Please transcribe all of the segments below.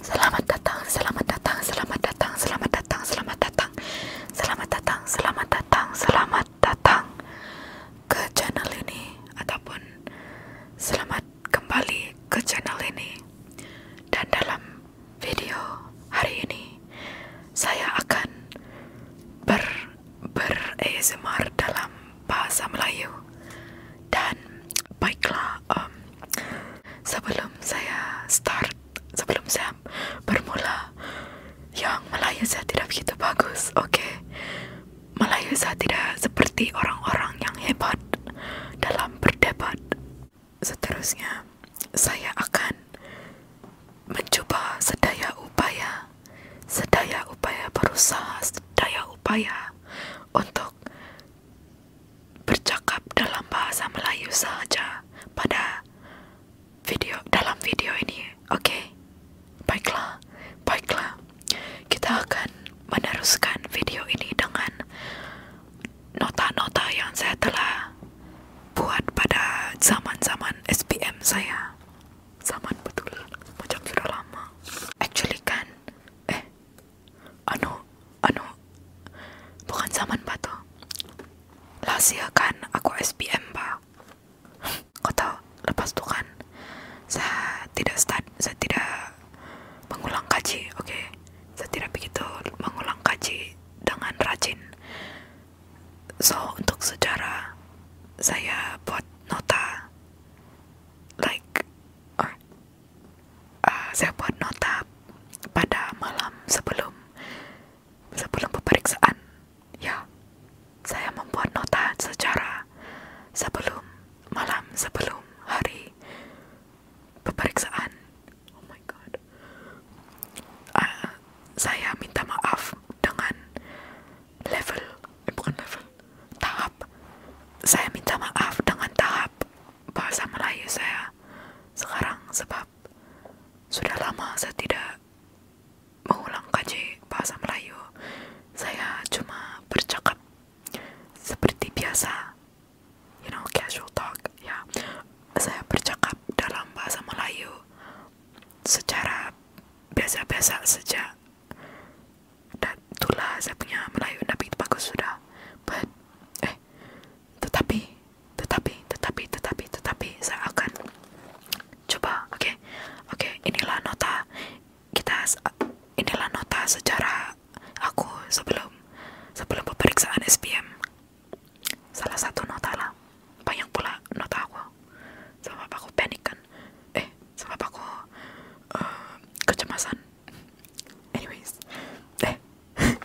Selamat datang, selamat datang, selamat datang, selamat datang, selamat datang, selamat datang, selamat datang, selamat datang ke channel ini ataupun selamat kembali ke channel ini dan dalam video hari ini saya akan ber ber ASMR dalam bahasa Melayu dan baiklah. Um, sebelum saya start, sebelum saya bermula, yang Melayu saya tidak begitu bagus, oke? Okay? Melayu saya tidak seperti orang-orang yang hebat dalam berdebat. Seterusnya, saya akan mencuba sedaya upaya, sedaya upaya berusaha, sedaya upaya untuk bercakap dalam bahasa Melayu saja pada video dalam video ini. Oke. Okay? Baiklah, baiklah. Kita akan meneruskan video ini dengan nota-nota yang saya telah buat pada zaman-zaman SPM saya. Zaman betul, macam sudah lama. Actually kan, eh, anu anu bukan zaman pak tuh Lasia kan aku SPM pak kau tahu lepas tu kan saya tidak start saya tidak mengulang kaji oke okay? saya tidak begitu mengulang kaji dengan rajin so untuk sejarah saya buat nota like Ah, saya buat nota pada malam sebelum sebelum pemeriksaan ya saya membuat nota secara sebelum malam sebelum hari pemeriksaan oh my god ah, saya minta maaf dengan level eh, bukan level tahap saya minta maaf dengan tahap bahasa Melayu saya sekarang sebab sudah lama saya tidak mengulang kaji bahasa Melayu. Saya cuma bercakap seperti biasa, you know, casual talk. Ya, saya bercakap dalam bahasa Melayu secara biasa-biasa saja. Dan itulah saya punya Melayu tapi bagus sudah. But eh tetapi tetapi tetapi tetapi tetapi saya akan coba oke oke inilah nota kita inilah nota sejarah aku sebelum sebelum pemeriksaan SPM salah satu nota lah banyak pula nota aku sebab aku panik kan eh sebab aku uh, kecemasan Anyways, eh,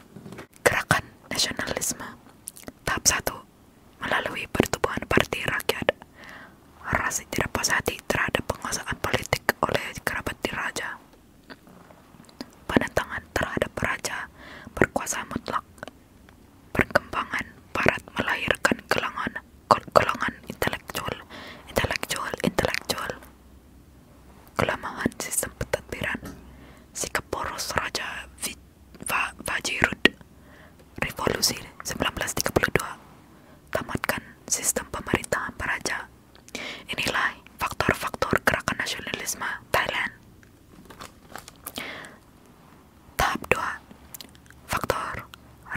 gerakan nasionalisme tahap satu melalui pertumbuhan partai rakyat ras tidak puas terhadap penguasaan politik oleh kerabat diraja penentangan terhadap raja berkuasa mutlak perkembangan barat melahirkan golongan golongan intelektual intelektual intelektual Kelemahan sistem pentadbiran, sikap poros Raja Vajirud, Revolusi 1932, tamatkan sistem pemerintahan para Raja. Inilah faktor-faktor gerakan nasionalisme Thailand. Tahap 2. Faktor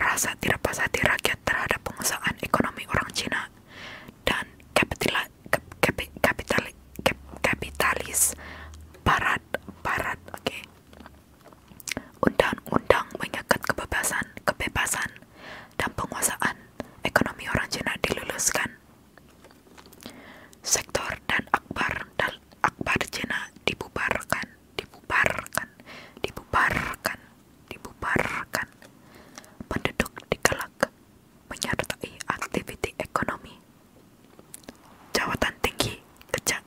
rasa tidak pas hati rakyat terhadap pengusahaan ekonomi orang Cina dan kap, kap, kapitalis barat barat oke undang-undang mengikat kebebasan kebebasan dan penguasaan ekonomi orang Cina diluluskan sektor dan akbar dan akbar Cina dibubarkan dibubarkan dibubarkan dibubarkan penduduk dikelak menyertai aktivitas ekonomi. Jawatan tinggi keja,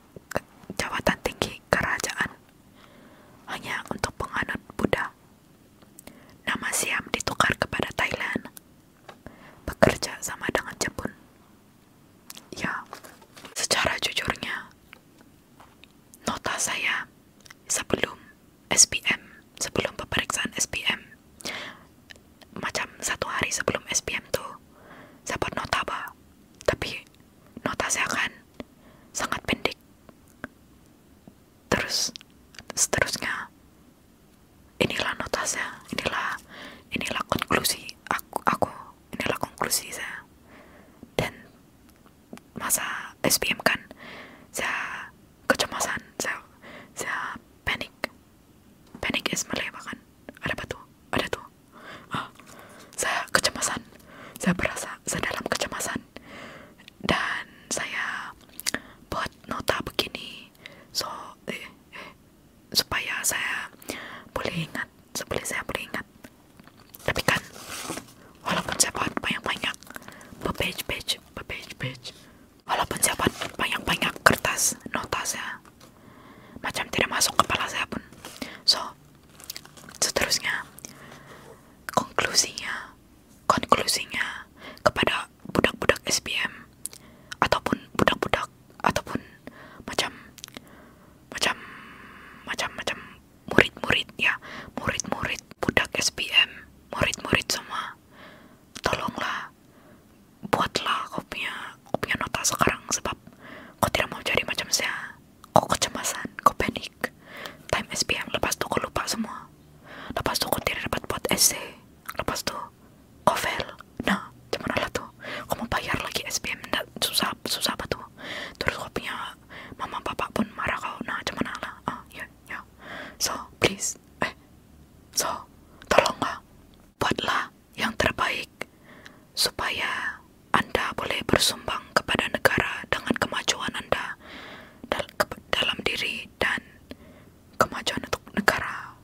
jawatan tinggi kerajaan hanya untuk penganut Buddha. Nama Siam ditukar kepada Thailand. Bekerja sama dengan Jepun. Ya, secara jujurnya, nota saya sebelum SPM sebelum pemeriksaan SPM macam satu hari sebelum SPM tuh saya buat nota bah tapi nota saya kan sangat pendek terus seterusnya inilah nota saya inilah inilah konklusi aku aku inilah konklusi saya dan masa SPM kan saya kecemasan saya saya panik panik es Malay bahkan ada batu ada tuh ah, saya kecemasan saya berasa saya dalam kecemasan dan saya buat nota begini so eh, eh supaya saya boleh ingat supaya saya boleh ingat tapi kan walaupun saya buat banyak-banyak page-page page page page walaupun siapa buat banyak-banyak kertas notasnya macam tidak masuk kepala saya pun so seterusnya konklusinya konklusinya kepada budak-budak SPM ataupun budak-budak ataupun macam macam macam macam murid-murid ya murid-murid budak SPM murid-murid semua tolonglah buatlah kau punya kau punya nota sekarang sebab kau tidak mau jadi macam saya kau kecemasan kau panik time SPM lepas tu kau lupa semua lepas tu kau tidak dapat buat essay lepas tu kau fail nah gimana lah tu? kau mau bayar lagi SPM nggak susah susah apa tu? terus kau punya mama bapak pun marah kau nah gimana lah ah ya ya so please eh so tolonglah buatlah yang terbaik supaya anda boleh bersumbang kepada negara dengan kemajuan anda dalam diri dan kemajuan untuk negara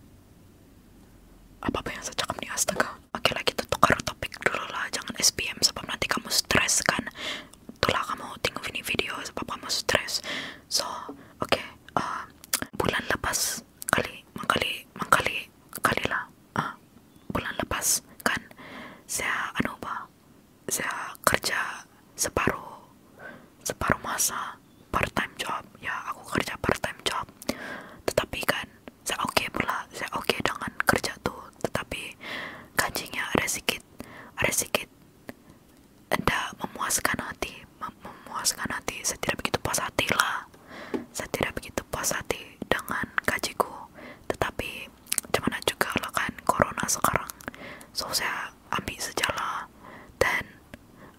apa apa yang saya cakap nih astaga oke lagi like itu tukar topik dulu lah jangan SPM sebab nanti kamu stres kan itulah kamu tengok ini video sebab kamu stress so oke okay, uh, bulan lepas kali mangkali mangkali kali lah uh, bulan lepas kan saya anu apa saya kerja separuh separuh masa part time job ya aku kerja part time job tetapi kan saya oke okay pula saya oke dengan kerja tuh tetapi gajinya ada sedikit ada sedikit tidak memuaskan hati memuaskan hati saya tidak begitu puas hati lah saya tidak begitu puas hati dengan gajiku tetapi cuman juga lah kan corona sekarang so saya ambil sejalan dan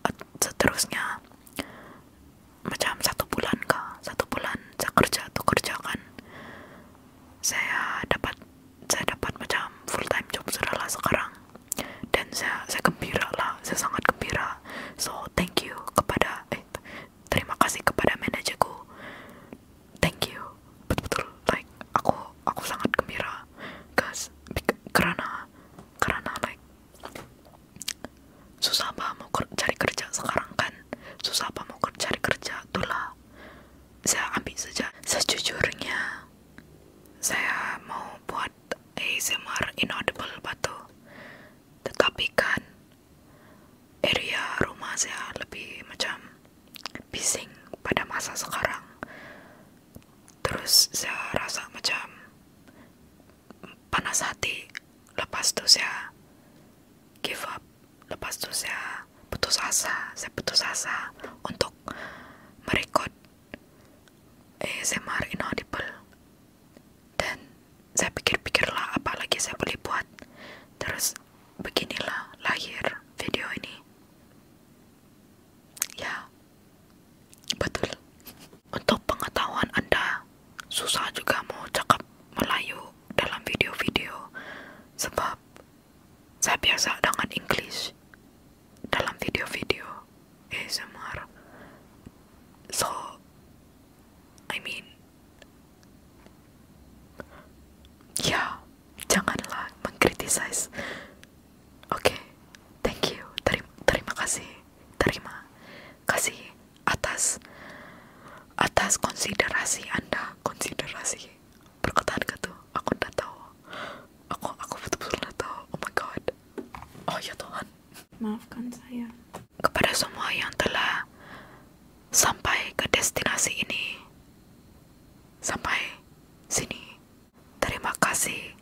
uh, seterusnya macam satu bulan kah satu bulan saya kerja tuh kerja kan saya dapat saya dapat macam full time job sudah sekarang dan saya saya gembira lah saya sangat gembira so thank you kepada eh, terima kasih kepada manajaku thank you betul-betul like aku aku sangat gembira guys karena karena like susah apa mau cari kerja sekarang kan susah apa mau cari kerja itulah saya ambil saja sejujurnya saya mau buat ASMR inaudible batu tetapi kan area rumah saya lebih macam bising pada masa sekarang terus saya rasa macam panas hati lepas itu saya give up lepas itu saya putus asa, saya putus asa untuk merekod ASMR inaudible dan saya pikir-pikirlah apa lagi saya boleh buat terus beginilah lahir video ini ya betul untuk pengetahuan anda susah juga mau cakap Melayu dalam video-video sebab saya biasa dengan English dalam video-video eh ASMR. So, I mean, ya, janganlah mengkritisize. Oke, thank you. Terima, terima kasih. Terima kasih atas atas konsiderasi Anda, konsiderasi perkataan gitu aku nggak tahu aku aku betul-betul nggak tahu oh my god oh ya Tuhan maafkan saya kepada semua yang telah sampai ke destinasi ini sampai sini terima kasih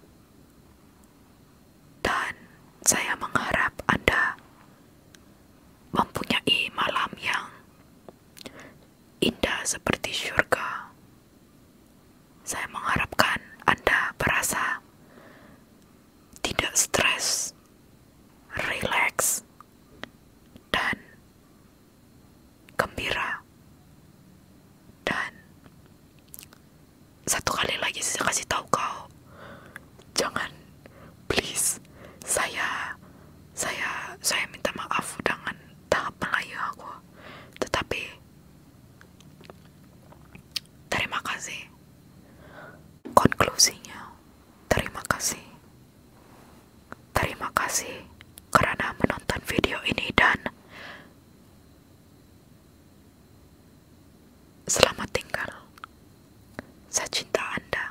dan saya mengharap Anda mempunyai malam yang indah seperti surga. Saya mengharapkan Anda merasa tidak stres, relax, dan gembira. Dan satu kali lagi saya kasih tahu kau, jangan please saya saya saya minta maaf dengan tahap Melayu aku. Tetapi terima kasih. Konklusinya, terima kasih. Terima kasih karena menonton video ini dan selamat tinggal. Saya cinta Anda.